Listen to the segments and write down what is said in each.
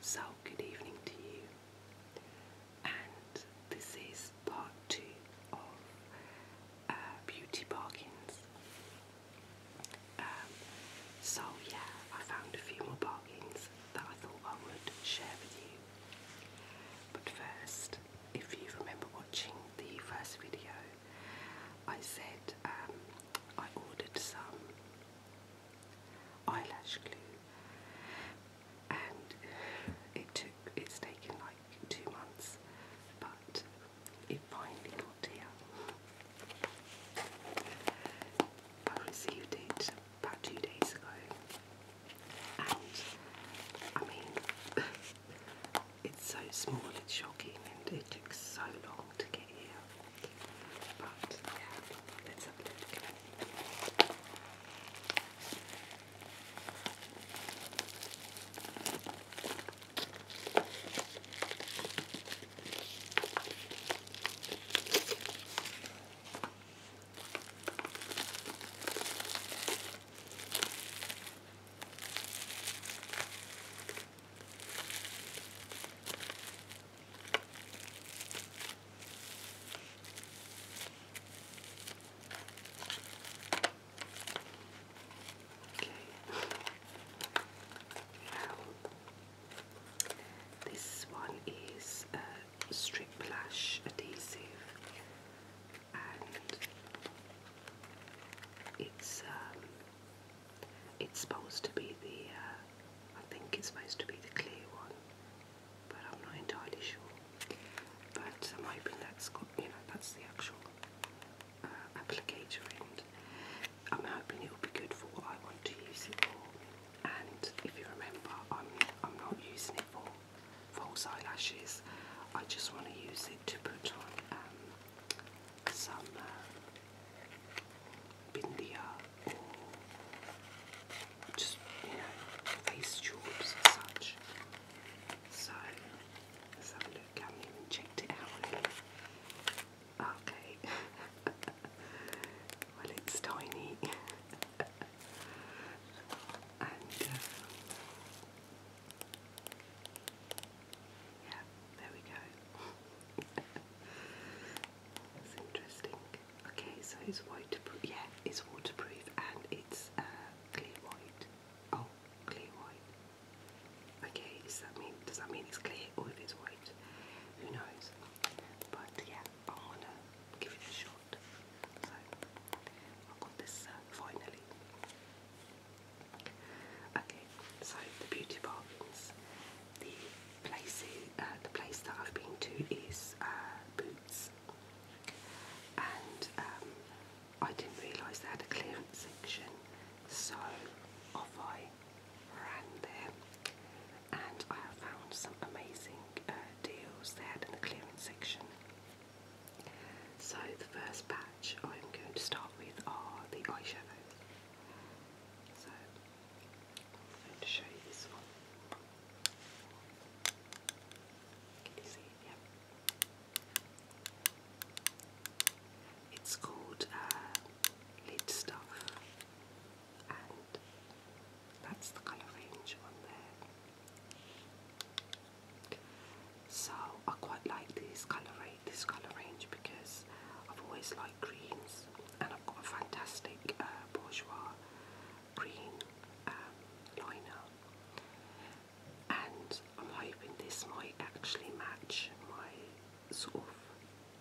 So, good evening to you, and this is part two of uh, Beauty Bargains. Um, so, yeah, I found a few more bargains that I thought I would share with you. But first, if you remember watching the first video, I said um, I ordered some eyelash glue and it took it's taken like two months but it finally got here. received it about two days ago and I mean it's so small it's shocking and it took so long to get here. But yeah, let a look. Okay. Now, this one is a strip lash adhesive, and it's um, it's supposed to be the, uh, I think it's supposed to be the clear one, but I'm not entirely sure. But um, I'm hoping that's got, you know, that's the actual uh, applicator end. I'm hoping it will be good for what I want to use it for. And if you remember, I'm I'm not using it for false eyelashes. I just want to use it to put on um, some bindia or just, you know, face tubes such. So, let look. I haven't even checked it out Okay. well, it's tiny. and, uh, yeah, there we go. That's interesting. Okay, so it's waterproof. Yeah, it's waterproof and it's uh, clear white. Oh, clear white. Okay, does that mean does that mean it's clear or if it's white? Who knows? But yeah, I wanna give it a shot. So I got this uh, finally. Okay, so the beauty box. The place, uh, the place that I've been to is uh, Boots, and um, I didn't realise they had a clearance section, so off I ran there, and I have found some amazing uh, deals they had in the clearance section. So the first batch I'm going to start with are the eyeshadows. So I'm going to show you this one. Can you see it? It's called uh, and that's the colour range on there. So I quite like this colour range, because I've always liked greens, and I've got a fantastic uh, bourgeois green um, liner, and I'm hoping this might actually match my sort of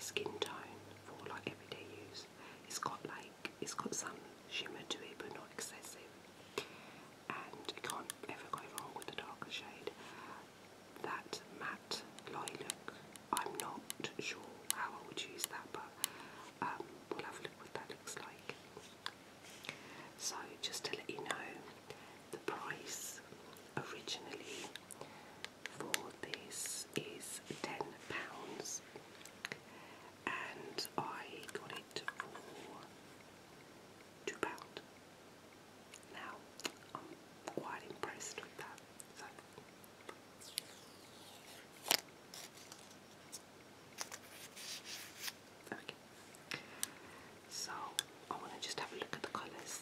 skin tone for like everyday use. It's got like it's got some shimmer to it, but not excessive. And you can't ever go wrong with a darker shade that matte lye I'm not sure how I would use that, but um, we'll have a look what that looks like. So, just to let you know, the price originally for this is £10 and I got it for £2. Now, I'm quite impressed with that. Okay. So, I want to just have a look at the colours.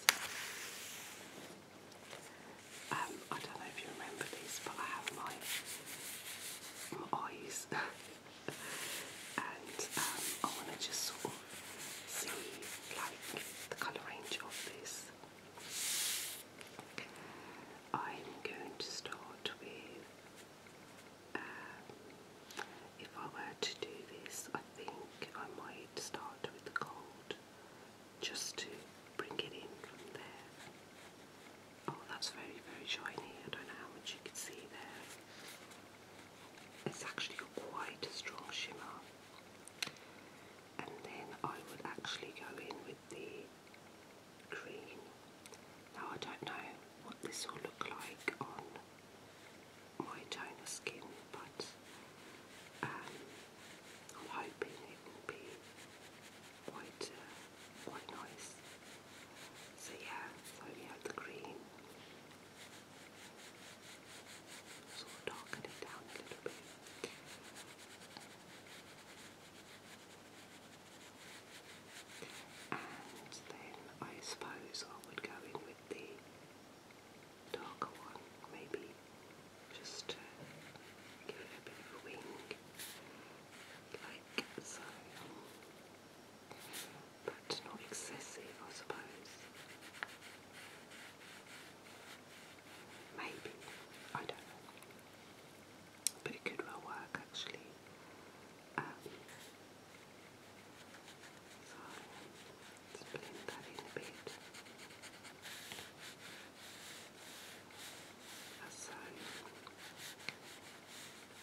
Um, I don't know if you remember this, but I have my eyes and um, I want to just sort of see like the colour range of this. I'm going to start with. Um, if I were to do this, I think I might start with the gold just to bring it in from there. Oh, that's very, very shiny. I don't know how you can see there. It's actually quite a strong shimmer. And then I would actually go in with the green. Now I don't know what this will look like on my toner skin, but um, I'm hoping it will be quite uh, quite nice. So yeah, so yeah, the green sort of darken it down a little bit. And then I suppose I would go in with the darker one, maybe just to give it a bit of wing, like so but not excessive, I suppose. Maybe, I don't know. But it could well work actually. Um, so let's blend that in a bit. so.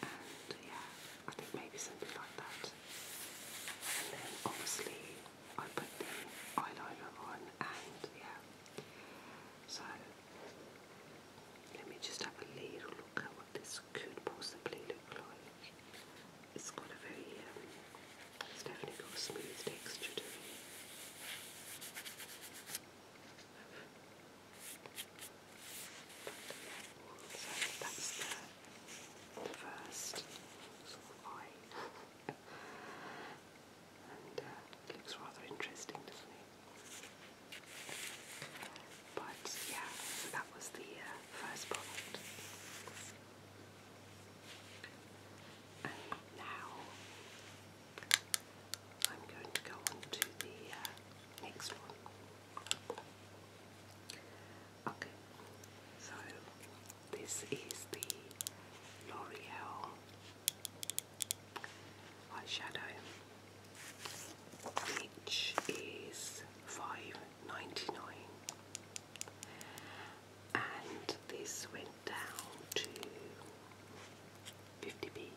And yeah, I think maybe something like that. And then obviously I put the eyeliner on and yeah. So let me just have a little look at what this could possibly look like. It's got a very, um, it's definitely got a smooth texture to it. So that's the, first sort and looks rather interesting, doesn't But yeah, that was the first product. And now I'm going to go on to the uh, next one. Okay, so this is the L'Oreal eyeshadow, which is five ninety nine, and this went down to fifty p.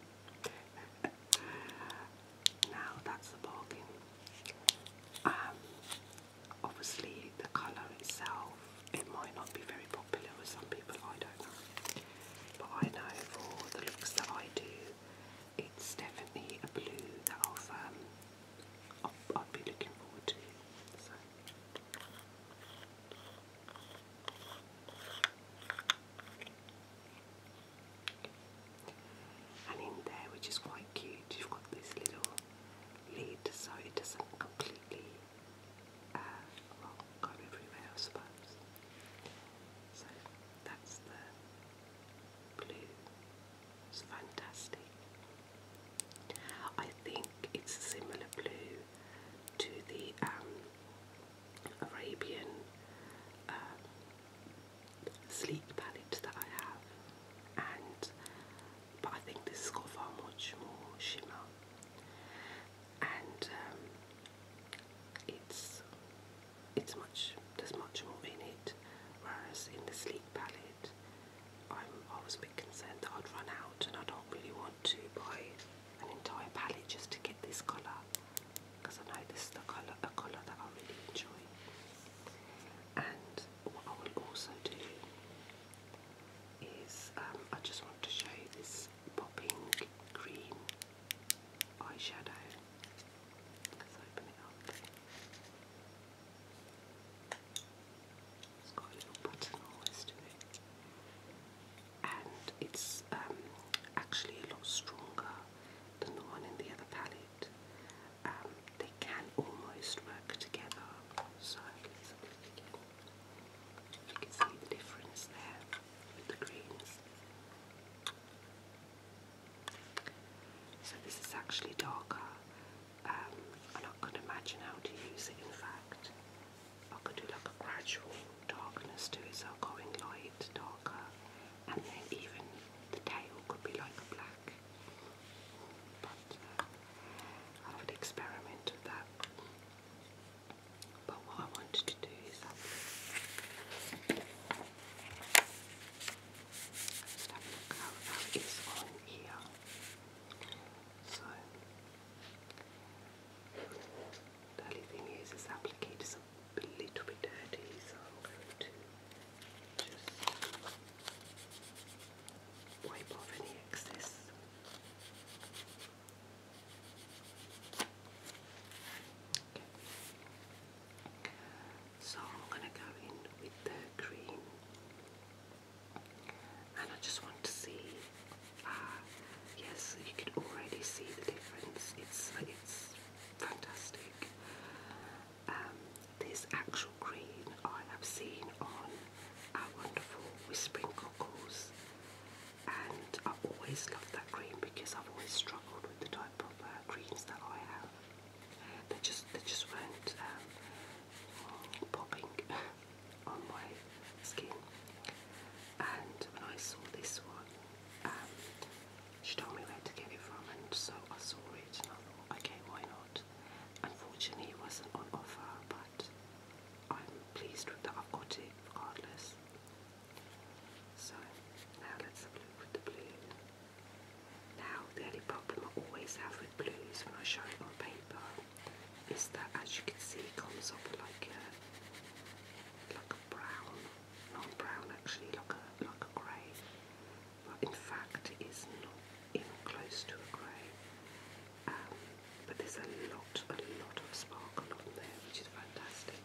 Now that's the bargain. Um, obviously, the colour itself, it might not be very popular with some people, I don't know. But I know for the looks that I do, it's definitely a blue that i will I'll be looking forward to. And in there, which is quite cute, you've got this little lid so it doesn't completely uh, well, go everywhere, I suppose. So that's the blue. It's fantastic. I think it's a similar blue to the um, Arabian uh, sleek palette that I have and but I think this has got much more shimmer and um, it's it's much there's much more in it whereas in the sleek palette I'm, I was a bit concerned that I'd run out and I don't really want to buy an entire palette just to get this colour because I know this is the colour, a colour that I really enjoy. And what I will also do is um, I just want to show you this popping green eyeshadow. Let's open it up. It's got a little button always to it. And it's um, actually a lot stronger than the one in the other palette. Um, they can almost work together. So let You can see the difference there with the greens. So this is actually darker. Um, and I could imagine how to use it in fact. I could do like a gradual darkness to it, so going light, darker, and then even the tail could be like black. But uh, experiment that. But what I wanted to do is that So the only thing is, is applicators a little bit dirty, so I'm going to just wipe off any excess. So I'm going to go in with the green, and I just want to see, uh, yes you can already see the difference, it's, it's fantastic. Um, this actual green I have seen on our wonderful Whispering Cockles, and I always loved that green because I've always struggled with the type of uh, greens that I have. They just they just weren't um, popping on my skin. And when I saw this one, um, she told me where to get it from, and so I saw it, and I thought, okay, why not? Unfortunately, it wasn't on offer, but I'm pleased with that I've got it regardless. So now let's have a with the blue. Now the only problem I always have with blues when I show it on paper is that, as you can see, it comes up like a like a brown not brown actually, like a, like a grey, but in fact it is not even close to a grey. Um, but there's a lot, a lot of sparkle on there, which is fantastic.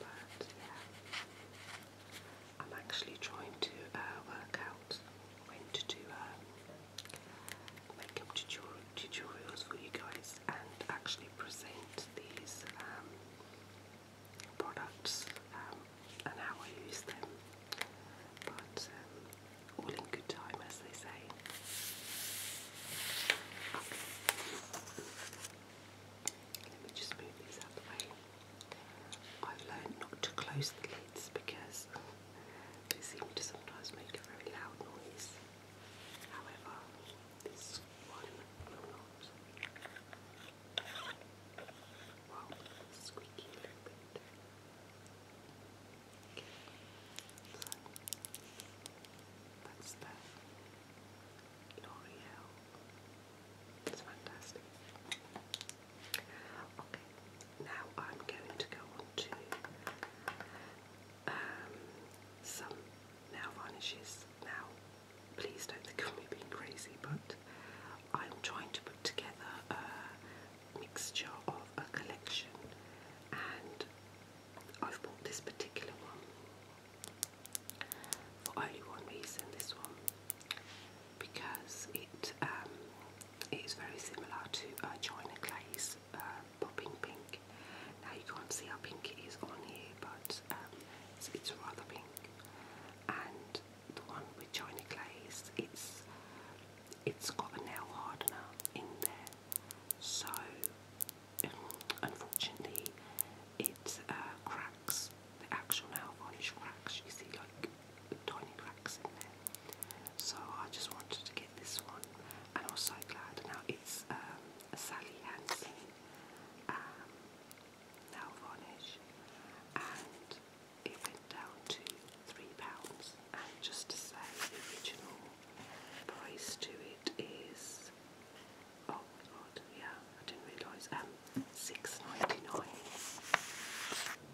But yeah, I'm actually trying to uh, work out when to do uh, makeup tutorials for you guys and actually present these um, products um, and how I use them. But um, all in good time, as they say. Let me just move these out of the way. I've learned not to close the lids because they seem to sometimes make a very loud noise. However, this one will not. Well, squeaky little bit. that's that. L'Oreal. It's fantastic. Okay, now I'm going to go on to um, some nail varnishes. Now, please don't think of me being crazy, but I'm trying to put together a mixture of a collection, and I've bought this particular one for only one reason. This one because it um, it is very similar to China uh, Clay's uh, Popping Pink. Now you can't see how pink it is on here, but um, it's, rather pink. And the one with China Clay's, it's it's got a nail hardener in there, so um, unfortunately it uh, cracks. The actual nail varnish cracks. You see like tiny cracks in there. So I just wanted to get did this one, and I was so glad. Now it's um, Sally Hansen um, nail varnish, and it went down to three pounds. And just to say, the original price to it is oh my god, yeah, I didn't realise um six ninety nine.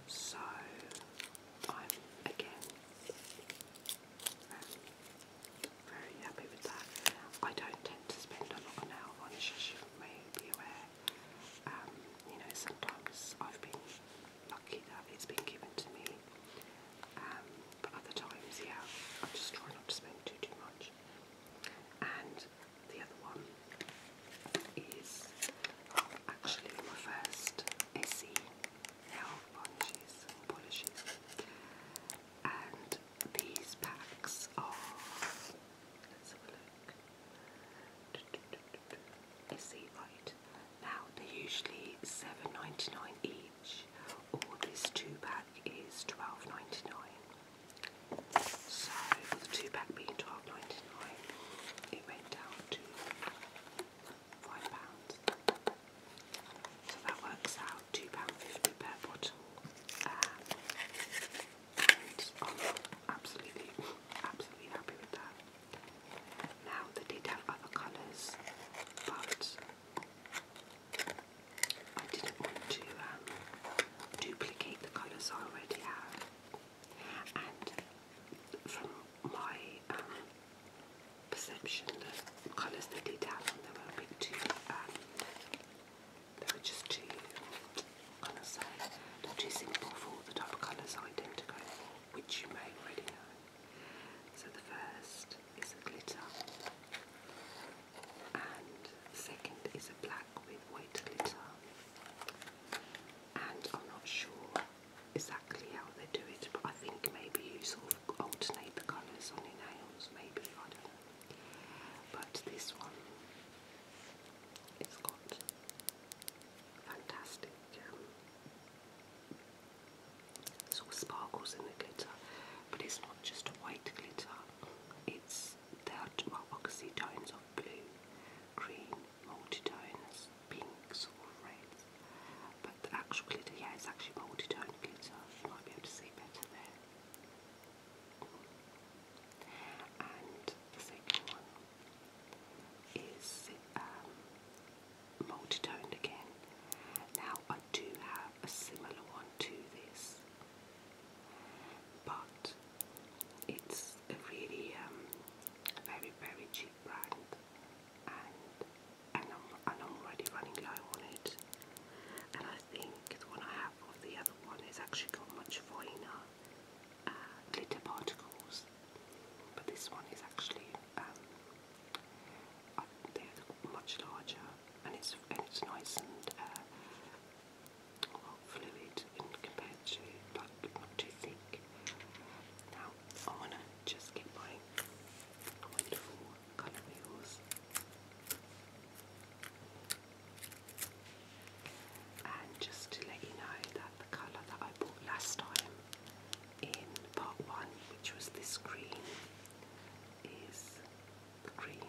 So I'm again um, very, happy with that. I don't tend to spend a lot on nail varnish, as you may be aware. Um, you know, sometimes I've been lucky that it's been given to me, um, but other times, yeah, I just try not to spend too too much. And the other one is actually my first Essie nail polishes, polishes. And these packs are. Let's have a look. Let's see, right. Now they're usually seven ninety nine each, or this two pack is twelve ninety nine. So, with the two pack being twelve ninety nine, it went down to five pounds. So that works out two pound fifty per bottle. Um, absolutely, absolutely happy with that. Now they did have other colours, but I didn't want to um, duplicate the colours I already have. And from my um, perception the colours that detail, have on them were a bit too, um, they were just too, kind of say, too simple for the type of colours I tend to go for, which you may already know. So the first is a glitter, and the second is a black with white glitter, and I'm not sure exactly how they do it, but I think maybe you sort of alternate the colours on your nails, maybe, I don't know. But this one, it's got fantastic um, sort of sparkles in the glitter, but it's not just a white glitter, it's there are well, oxytones of blue, green, multi-tones, pinks or reds. But the actual glitter, yeah, it's actually multi glitter. might be able to see better there. And the second one is um, again. Now I do have a similar one to this, but it's a really um, very very cheap brand and, I'm, already running low on it. And I think the one I have or the other one has actually got much finer uh, glitter particles, but this one is actually um, uh, they're much larger, and it's and it's nice and uh, well, fluid compared to like not too thick. I want to just keep buying wonderful color wheels. And just to let you know that the colour that I bought last time in part one, which was this green, is the green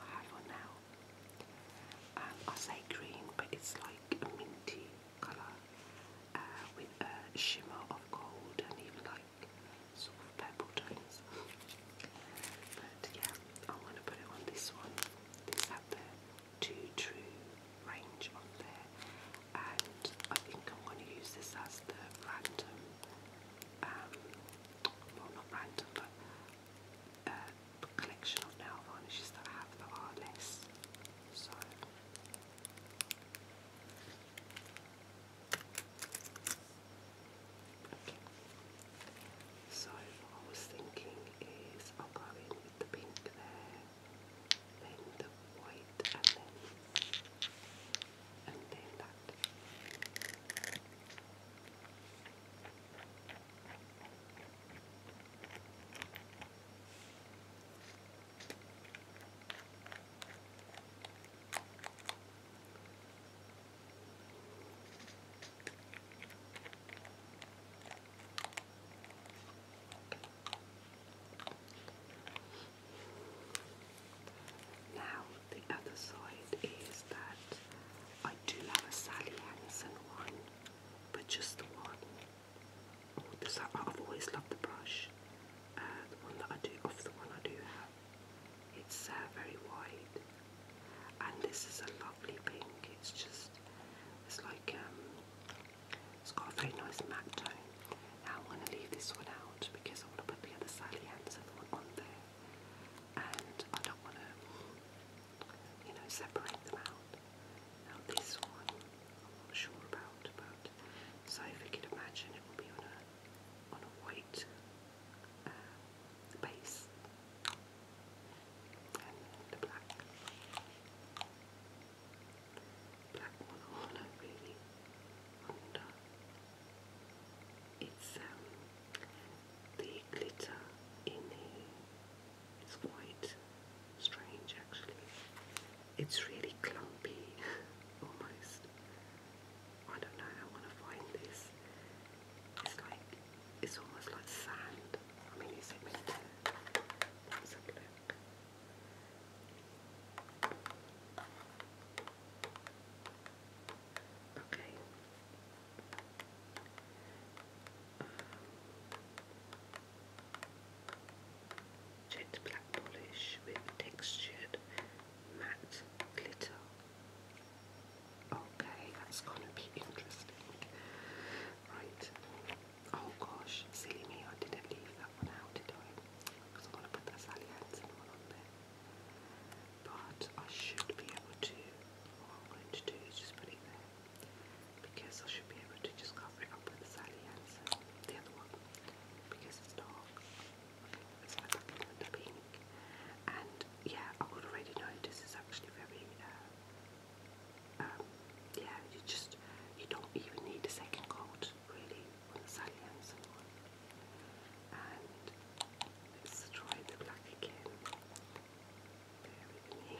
I have now. I say green, but it's like a minty colour. Uh, with a shimmer of gold and even like sort of purple tones. But yeah, I'm going to put it on this one. These have the Too True range on there, and I think I'm going to use this as the random, um, well, not random, but uh, collection of nail varnishes that I have that are less side. Okay. I was thinking is I'll go in with the pink there, then the white and then that. Now, the other side is that I do love a Sally Hansen one, but just the one. Because I, I've always loved the brush. Uh, the one that I do, off the one I do have, it's uh, very wide. And this is a lovely pink. It's just, it's like, um, it's got a very nice matte tone. Now I'm going to leave this one out because I want to put the other and the one on there. And I don't want to, you know, separate them out. Now this one I'm not sure about, but so if we could imagine it will be on a on a white uh, base and the black black one really wonder. It's um the glitter in the it's quite strange actually. It's really clumpy almost. I don't know, I want to find this. It's like, it's almost like sand. I mean, is it Let's have a look. Okay. Um, Jet black polish with textured matte glitter. Okay, that's gonna be interesting. Right. Oh gosh, silly me, I didn't leave that one out, did I? Because I'm to put that Sally Hansen one on there. But I should be able to, what I'm going to do is just put it there because I should be able to just cover it up with the Sally Hansen, the other one, because it's dark. It's like I can the pink. And yeah, I would already know this is actually very, uh, um, yeah, you just, you don't even need a second coat really on the Sally Hansen And let's try the black again. There we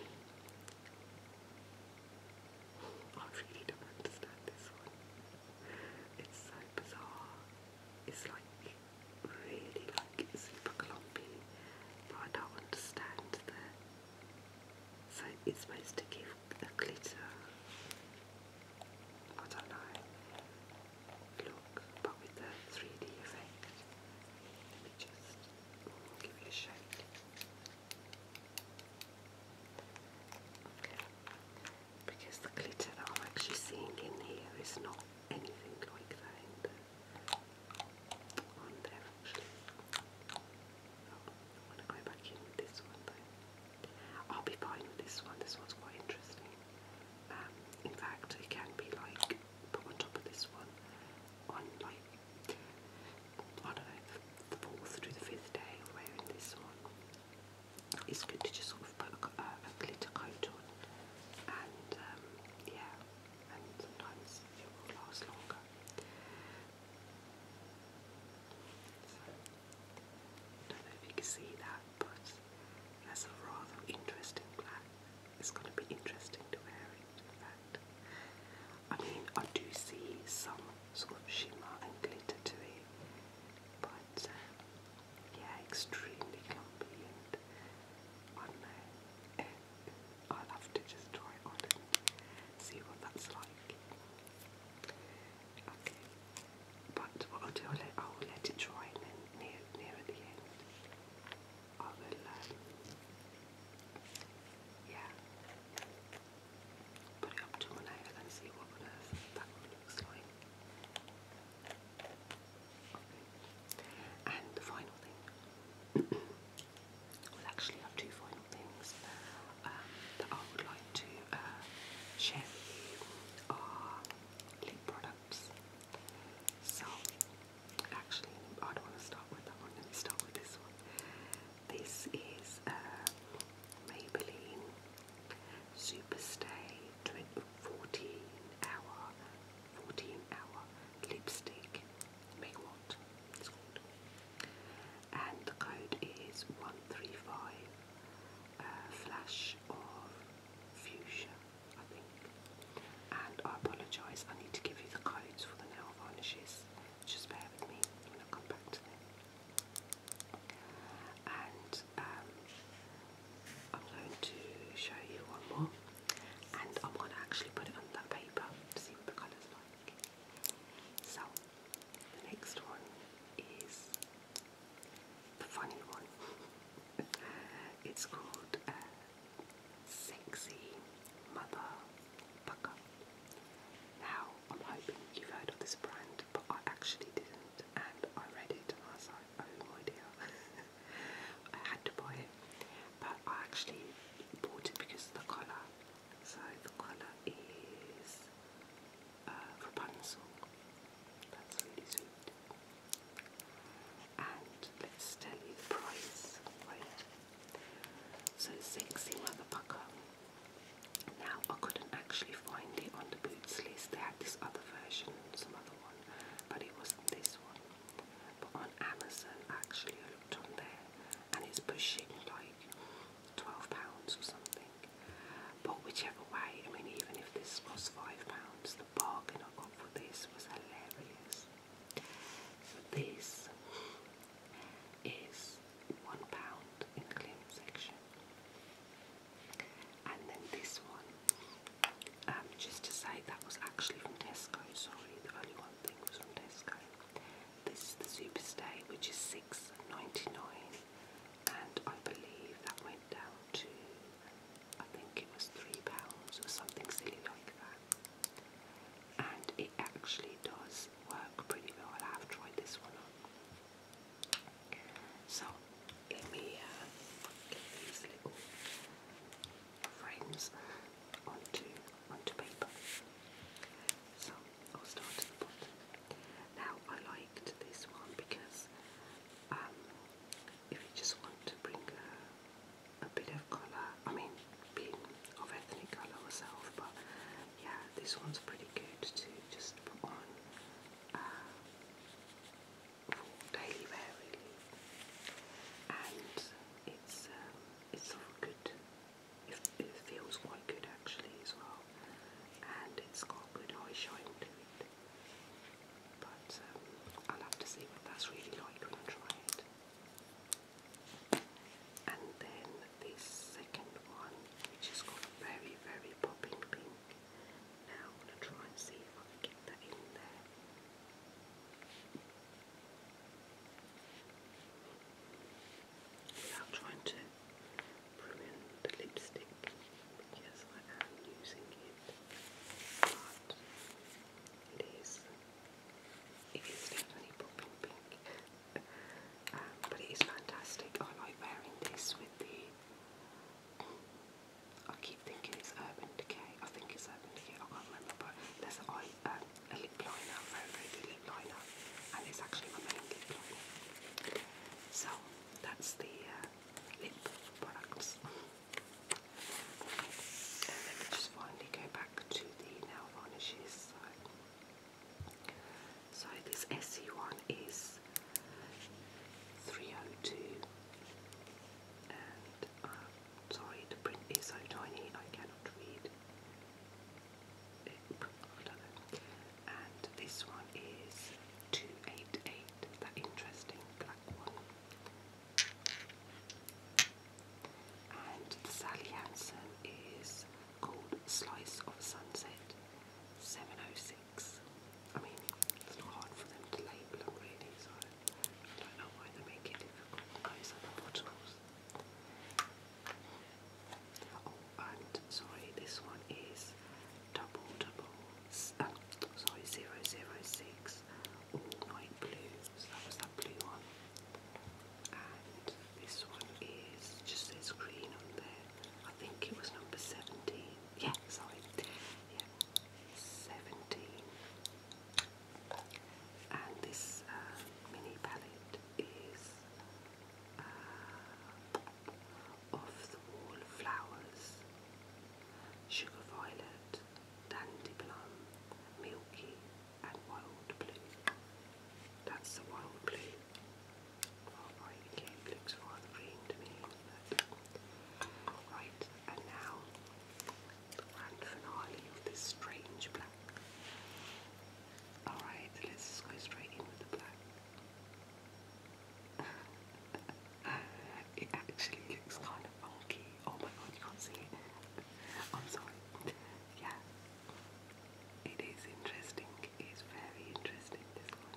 I really don't understand this one. It's so bizarre. It's like really like super clumpy, but I don't understand the. So it's supposed to give a glitter. I Look, but with the 3D effect. Let just give it a because the glitter that I'm actually seeing in here is not anything like that in there actually. Oh, I want to go back in with this one I'll be fine with this one, this one's quite interesting. Um, in fact, it can be like put on top of this one on like I don't know, the fourth to the fifth day wearing this one, it's good to just sort of put a, uh, a glitter coat on and um, yeah, and sometimes it will last longer. I don't know if you can see that, but that's a rather interesting black. It's going to be interesting to wear I mean, I do see some sort of shimmer and glitter to it, but uh, yeah, extremely clumpy and I know. Eh, I'll have to just try it on see what that's like. but what I'll do, I'll let it dry and then near, near at the end I that Yeah. Put it up to an hour and see what on earth And the final thing. we'll actually have two final things um, that I would like to uh, share with you are lip products. So Actually, I don't want to start with that one. Let me start with this one. This is uh, Maybelline Superstay 14 hour, 14 hour lipstick. Make what? It's And code is 135 uh, Flash of Fuchsia, I think. And I apologise, I need to give you the codes for the nail varnishes. Just bear with me when I come back to them. And um, I'm going to show you one more. And I'm to actually put it on paper to see what the colour's like. So, the next one is the funny one. it's called uh, sexy mother pucker. Now, I'm hoping you've heard of this brand, but I actually didn't, and I read it and I was like, oh, I had to buy it. But I actually bought it because the colour. So the colour is uh, Rapunzel. That's really sweet and let's tell you the price for it. So sexy motherfucker. Now I couldn't actually find it on the boots list. They had this other version, some other one, but it wasn't this one. But on Amazon actually I looked on there and it's pushing like twelve pounds or something. But whichever way, I mean even if this was five pounds, the bargain I got for this was hilarious. So this is £1 in the claim section. And then this one, um, just to say that was actually from Tesco, sorry, the only one thing was from Tesco. This is the Superstay, which is six ninety nine, and I believe that went down to, I think it was three pounds or something silly like that and it actually does work pretty well. I have tried this one on. So let me uh, get these little frames onto onto paper. So I'll start at the bottom. Now I liked this one because um, if you just want to bring a a bit of colour, I mean, being of ethnic colour myself, but yeah, this one's pretty good to just put on uh, for daily wear really, and it's um, it's all good. It, it feels quite good actually as well, and it's got good eye shine to it. But um, I'll have to see what that's really like when I try it and then this second one, which has got very, very popping pink. Now I'm going to try and see if I can get that in there. Without trying to ruin the lipstick, because I am using it, but it is it is definitely popping pink. Um, but it is fantastic. I wearing this with the. Um, I keep thinking it's Urban Decay. I think it's Urban Decay. I can't remember, but there's a um, lip liner, very very lip liner, and it's actually my main lip liner. So that's the uh, lip products let me just finally go back to the nail varnishes. So, this SE one is 302 and um, sorry the print is so tiny I cannot read And this one is 288, that interesting black one. And Sally Hansen is called Slice of Sunset 706. I mean, it's not hard for them to label them really, so don't know why they make it difficult Oh, and sorry, this one is double double, um, sorry, zero zero zero six. Ooh, Night Blues, that was that blue one. And this one is just says green on there. I think it was number 17. Yeah, sorry. Yeah, 17. And this uh, mini palette is uh, Off the Wall Flowers, Sugar Violet, Dandyblum, Milky, and Wild Blue. That's the Wild Blue. Alright, again, looks rather green to me. right, and now the grand finale this strange black. Alright, let's go straight in with the black. it actually looks kind of funky. Oh my god, you can't see it. I'm sorry. Yeah. It is interesting. It is very interesting, this one.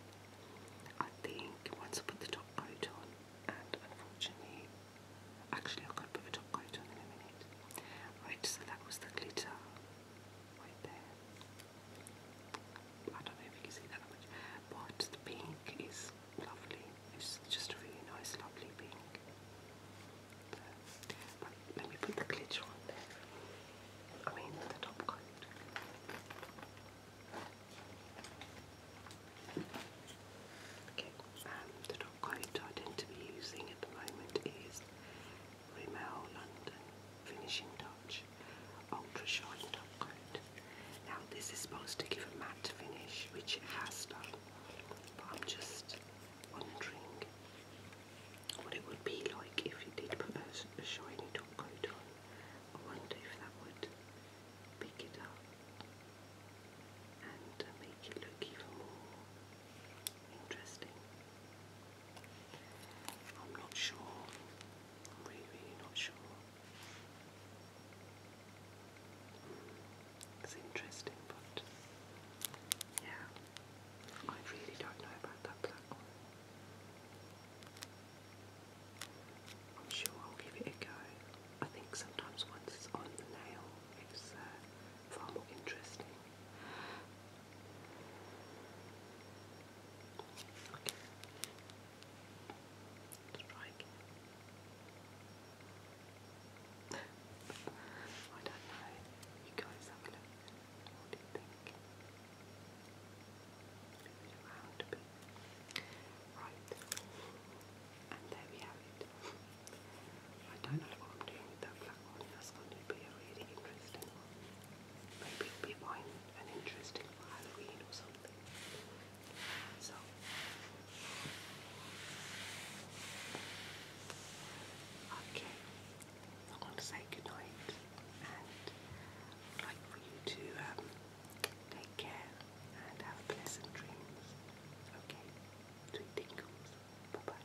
I think once I put the top coat on, and unfortunately, actually, I could put a top coat on in a minute. Right, so that was the glitter right there. I don't know if you can see that much, but the pink is lovely. It's just a really nice, lovely pink. But let me put the glitter on there. I mean, the top coat. Okay, um, the top coat I tend to be using at the moment is Rimmel London Finishing Touch Ultra Shine Top Coat. Now, this is supposed to give a matte finish, which it has done, but I'm just wondering what it would be like if you did put a, shiny top coat on. I wonder if that would pick it up and uh, make it look even more interesting. I'm not sure. I'm really not sure. It's interesting, but yeah, I really don't know about that black one. I'm sure I'll give it a go. I think sometimes once it's on the nail, it's uh, far more interesting. Okay. let I don't know. You guys have a What do you think? Move it around a bit. Right. And there we have it. I don't know what I'm doing with that black one. That's going to be a really interesting one. Maybe it'll be mine, an interesting Halloween or something. So okay, I'm to say good night, and I'd like for you to um, take care and have pleasant dreams. Okay, sweet tingles. Bye bye.